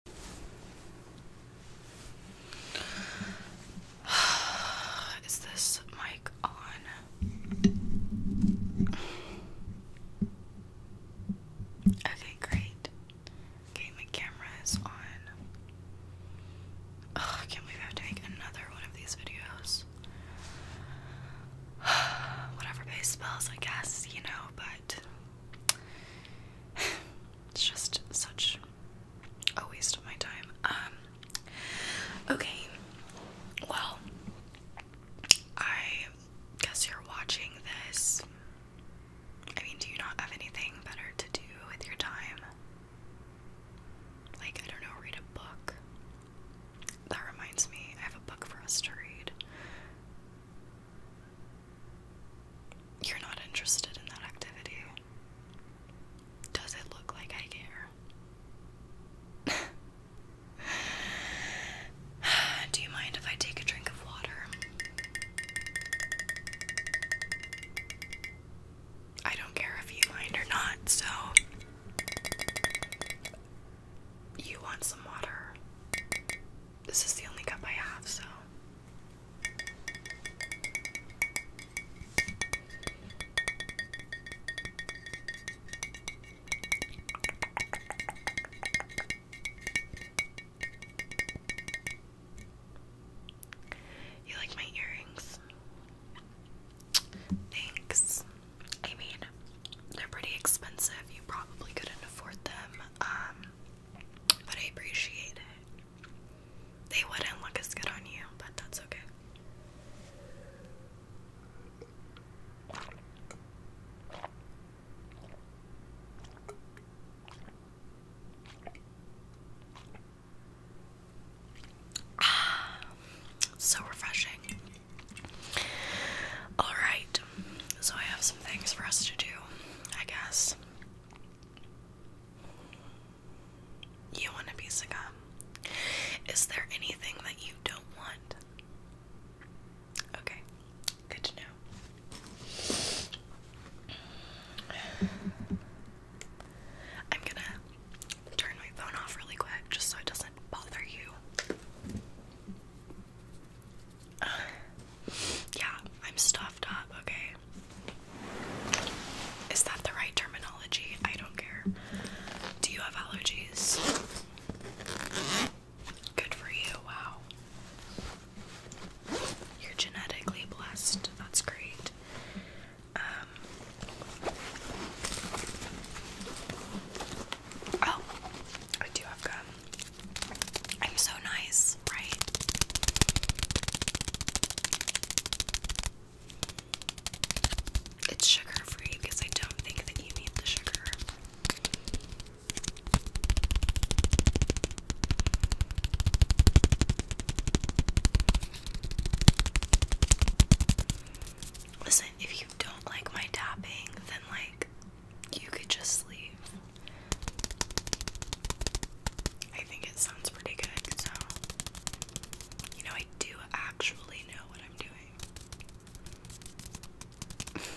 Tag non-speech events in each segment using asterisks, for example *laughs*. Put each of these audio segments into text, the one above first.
*sighs* Is this mic on? Okay, great. Okay, my camera is on. Ugh, I can't believe I have to make another one of these videos. *sighs* Whatever pays spells, I guess, you know, but *sighs* It's just such a waste of my time. Um, okay, well, I guess you're watching this. I mean, do you not have anything better to do with your time? Like, I don't know, read a book. That reminds me, I have a book for us to read. You're not interested in that activity. Does it look like I care? *sighs* Do you mind if I take a drink of water? I don't care if you mind or not, so. You want some water? This is the only cup I have, so. You like my earrings? Thanks. I mean, they're pretty expensive. You probably couldn't afford them. Um, but I appreciate it. They wouldn't look as good on you, but that's okay. Ah, so refreshing. Alright, so I have some things for us to do, I guess. You want a piece of gum? Is there anything that you don't want? Okay, good to know. I'm gonna turn my phone off really quick just so it doesn't bother you. *sighs* yeah, I'm stuffed up, okay? Is that the right terminology? I don't care. Do you have allergies? Good for you, wow. You're genetically blessed. That's great. Um Oh, I do have gum. I'm so nice, right? It's sugar free because I don't think that you need the sugar. Listen, if you don't like my tapping, then like you could just leave. I think it sounds pretty good, so you know I do actually know what I'm doing. *laughs*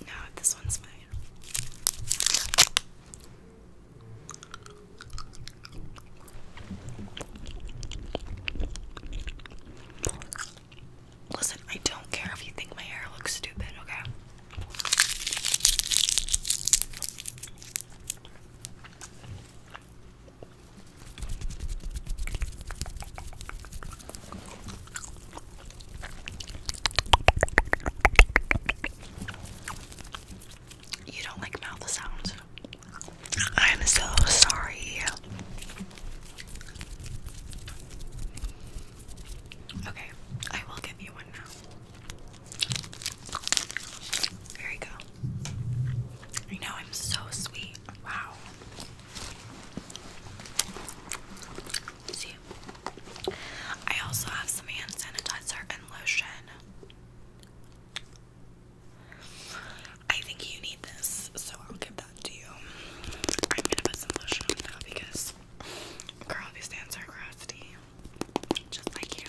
no, this one's mine. Listen, I don't care if you think my hair looks stupid, okay? You don't like mouth sounds. I'm so sorry. Okay, I will give you one now. There you go. I know I'm so sweet. Wow. See, I also have some hand sanitizer and lotion. I think you need this, so I'll give that to you. I'm gonna put some lotion on now because, girl, hands are crusty, just like you.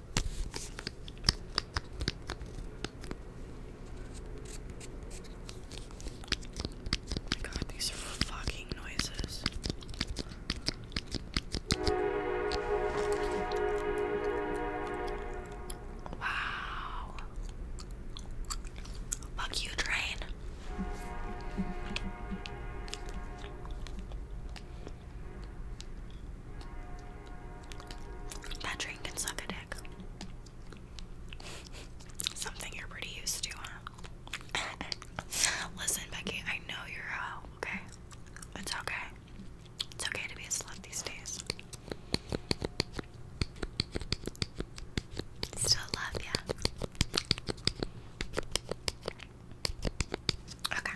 Oh god, these fucking noises. Wow. Fuck you, train. That drink can suck a dick. Something you're pretty used to, huh? *laughs* Listen, Becky, I know you're okay? It's okay. It's okay to be a slut these days. Still love ya. Okay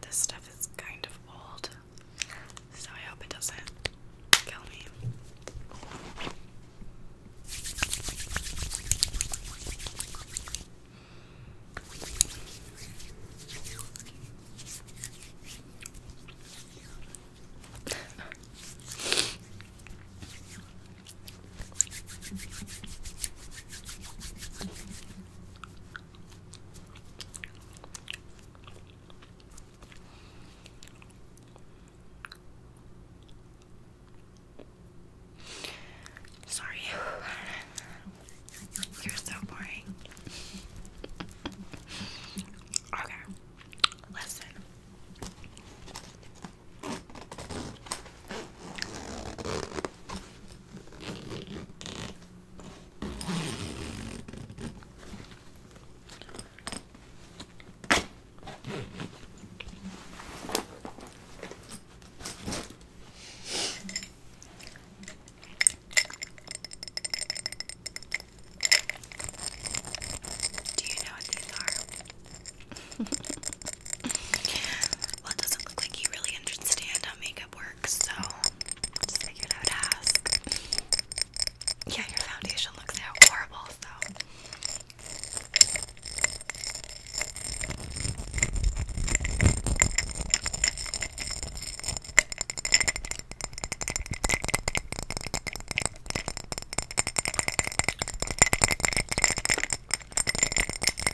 this stuff is kind of old, so I hope it doesn't kill me. Sorry, *laughs* you're so boring. okay, listen. Do you know what these are? *laughs* well, it doesn't look like you really understand how makeup works, so I just figured I would Yeah, your foundation looks horrible, so.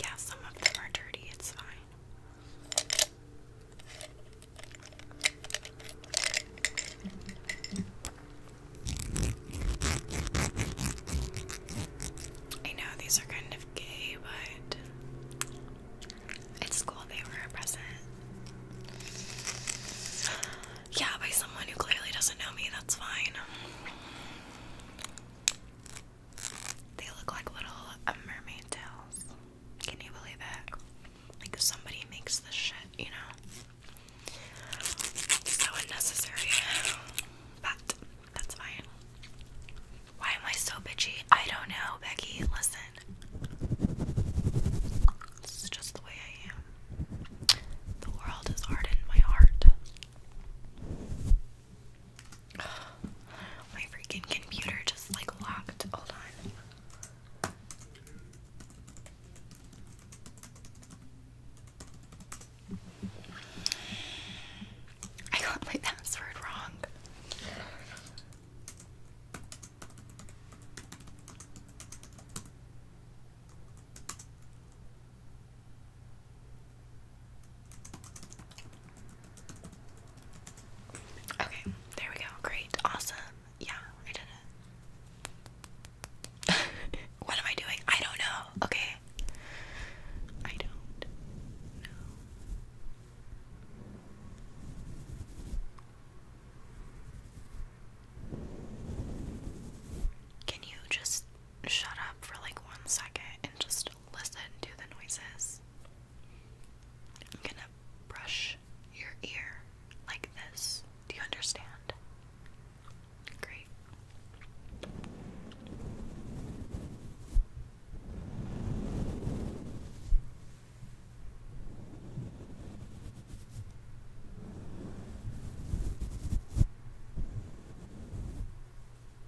Yeah, some of them are dirty, it's fine. I know these are kind of gay, but it's cool they were a present. Yeah, by someone who clearly doesn't know me, that's fine. They look like little um, mermaid tails. Can you believe it? Like somebody makes this shit, you know? So unnecessary. But that's fine. Why am I so bitchy? I don't know, Becky. Listen. This is just the way I am. The world is hard my heart. My freaking computer just like locked. Hold on. I got my password wrong. Okay, there we go. Great. Awesome. Yeah, I did *laughs* what am I doing? I don't know. Okay. I don't know. Can you just shut up for like one second and just listen to the noises. I'm gonna brush your ear like this. Do you understand? Great.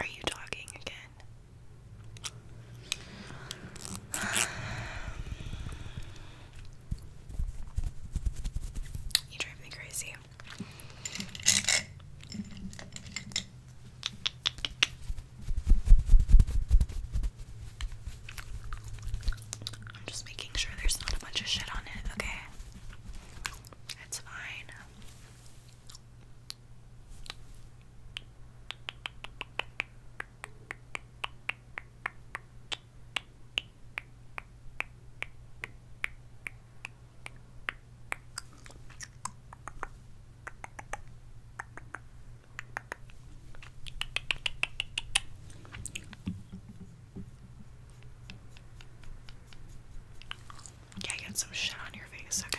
Are you talking again? *sighs* *sighs* You drive me crazy. I'm just making sure there's not a bunch of shit on it, okay? It's fine. Yeah, get some shit on your face, okay?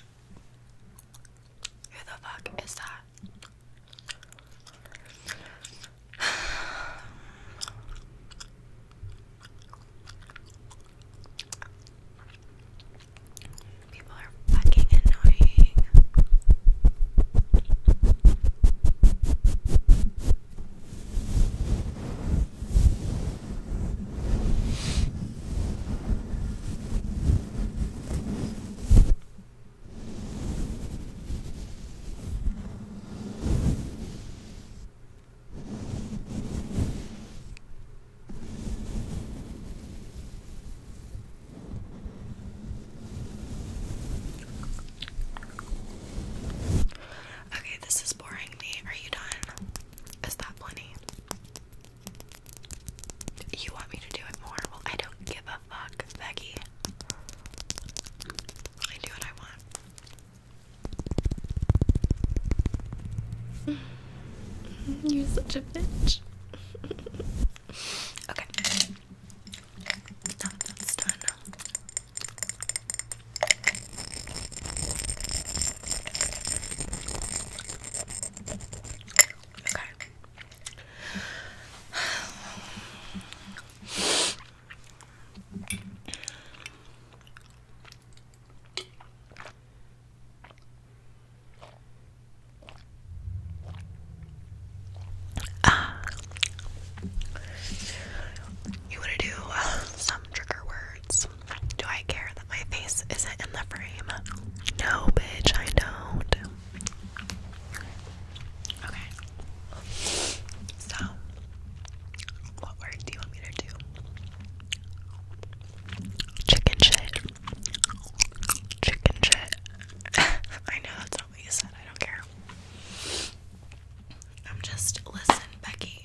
Who the fuck is that? People are fucking annoying. Okay, this is boring me. Are you done? Is that plenty? You want me to do it more? I don't give a fuck, Becky. I do what I want. *laughs* You're such a bitch. *laughs* okay. Now that that's done. Okay. Ah. You want to do uh, some trigger words? do I care that my face isn't in the frame? No, bitch, I don't. Okay. So, what word do you want me to do? Chicken shit. Chicken shit. *laughs* I know that's not what you said. I don't care. I'm just listen, Becky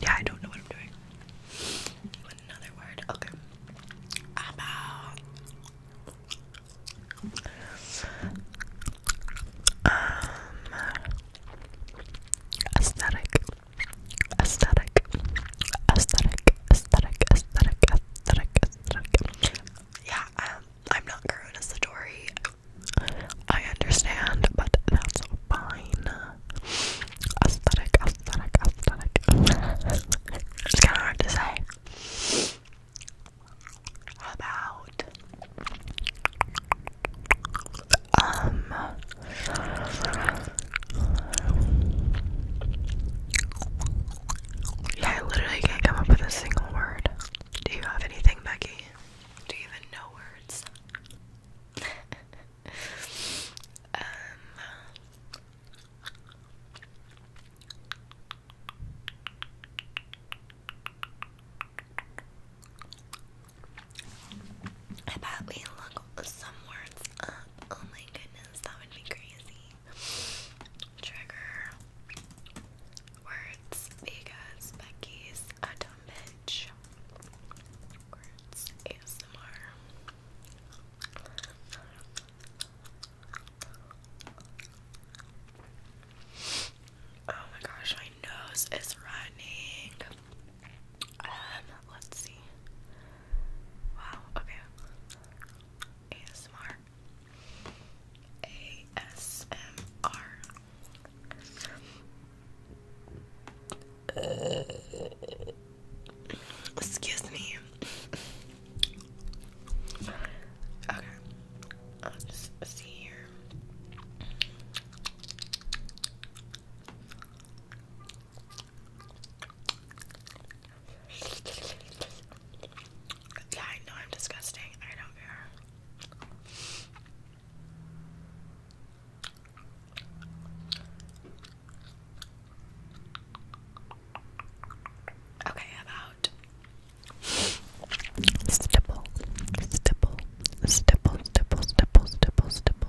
Yeah, I don't know what I'm doing. Another word. Okay. Um, aesthetic aesthetic, aesthetic, aesthetic, aesthetic, aesthetic, aesthetic. Yeah, um, I'm not coronatory. I understand, but that's fine. Aesthetic, aesthetic, aesthetic. it's kind of hard to say. about um Yeah, I literally can't come up with a single word. Do you have anything, Becky? Do you even know words? *laughs* Um, I bet we look some words up. Oh my goodness, that would be crazy. Trigger words because Becky's a dumb bitch. Words ASMR. Oh my gosh, my nose is running. Um, let's see. Wow, okay. ASMR. ASMR. Uh, excuse me. Okay. I'll see here. Yeah, I know I'm disgusting. I don't care. Okay, about stipple, stipple, stipple, stipple, stipple, stipple, stipple,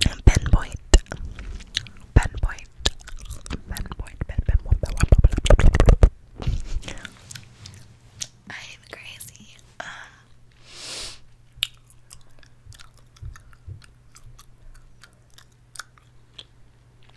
Pinpoint. Pinpoint. Pinpoint. Pinpoint. I'm crazy. Um,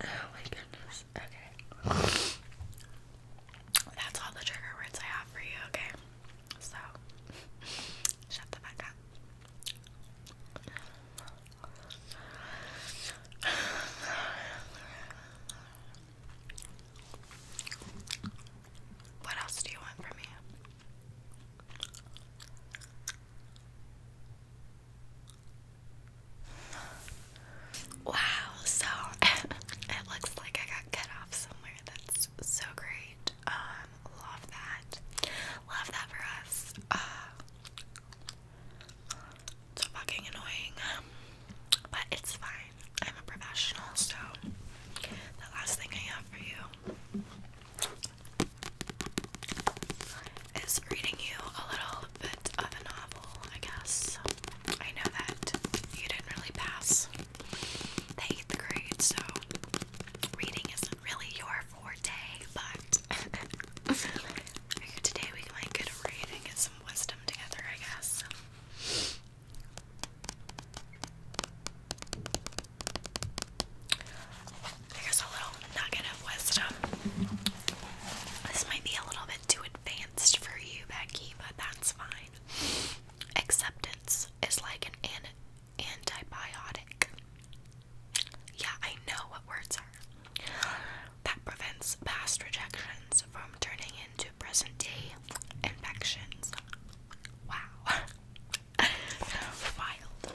Oh my goodness. Okay. That's all the trigger words I have for you, okay? So, *laughs* shut the fuck up. What else do you want from me? Wow, so *laughs* it looks like I got cut off somewhere. That's so great. Um, love that. Love that for us. Uh, so fucking annoying. But it's fine. I'm a professional, so the last thing I have for you is reading you a little bit of a novel, I guess. I know that you didn't really pass eighth grade, so reading isn't really your forte, but *laughs* today we might get a read and get some wisdom together, I guess. I a little nugget of wisdom. This might be a little bit too advanced for you, Becky, but that's fine. Acceptance is like an, antibiotic. Yeah, I know what words are. That prevents past rejections from turning into present day infections. Wow. *laughs* Wild.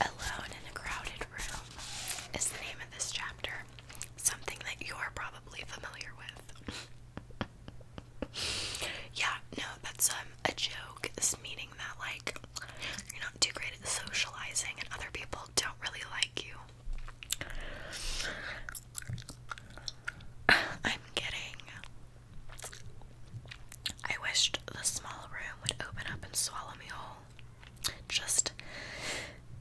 Alone in a Crowded Room is the name of this chapter. Something that you're probably familiar with. *laughs* yeah, no, that's um, a joke. It's meaning that, like, you're not too great at socializing and other people don't really like you. *sighs* I'm kidding. I wished the small room would open up and swallow me whole. Just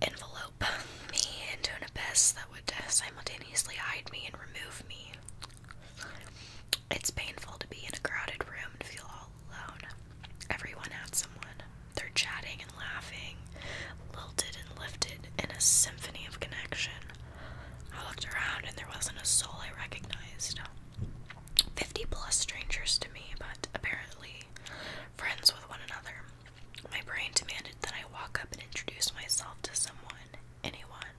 envelope me into an abyss that would simultaneously hide me and remove me. It's painful to be in a crowded room and feel all alone. Everyone had someone. They're chatting and laughing, lilted and lifted in a symphony of connection. I looked around and there wasn't a soul I recognized. 50 plus strangers to me, but apparently friends with one another. My brain demanded that I walk up and introduce myself to someone, anyone,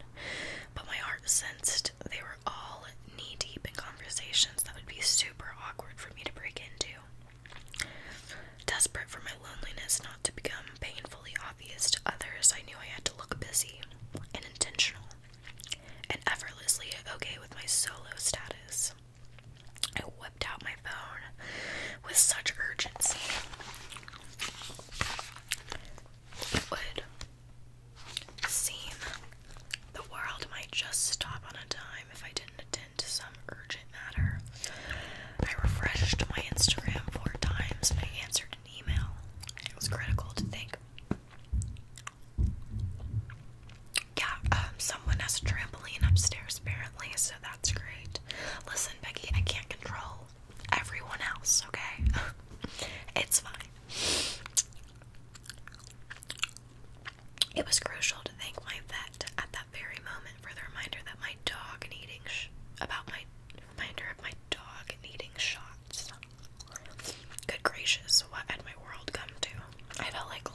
but my heart sensed they were all knee deep in conversations that would be super awkward for me to break into. Desperate for my loneliness not to become painful obvious to others, I knew I had to look busy and intentional and effortlessly okay with my solo status. I whipped out my phone with such urgency. It would seem the world might just stop on a dime if I didn't attend to some urgent matter. I refreshed my Instagram four times and I answered email. It was critical to think. Yeah, um, someone has a trampoline upstairs apparently, so that's great. Listen, Becky, I can't control everyone else, okay? *laughs* it's fine. It was crucial to thank my vet at that very moment for the reminder that my dog needing about my reminder of my dog needing shots. Good gracious, what had my world come to? I felt like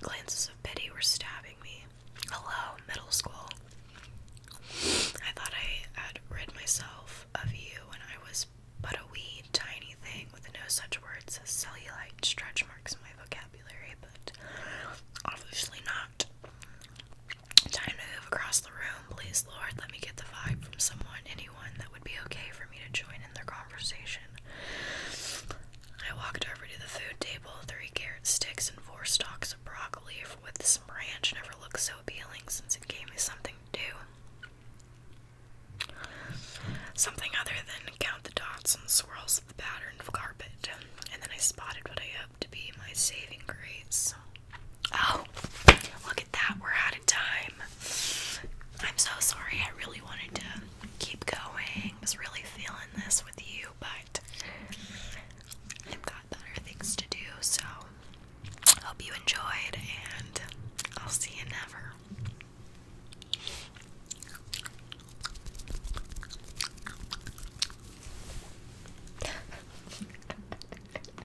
glances of pity were stabbing me. Hello, middle school. I thought I had rid myself of you when I was but a wee tiny thing with no such words as cellulite stretch marks in my vocabulary, but obviously not. Time to move across the room, please, Lord. Let me get the vibe from someone, anyone that would be okay for me to join in their conversation. I walked over to the food table, three carrot sticks and four stalks of broccoli with some branch never looked so appealing since it gave me something to do. Something other than count the dots and swirls of the pattern of carpet. And then I spotted what I hope to be my saving grace. Oh, look at that. We're out of time. I'm so sorry. I really wanted to keep going. I was really feeling this with you, but I've got better things to do. So, hope you enjoyed, and I'll see you never.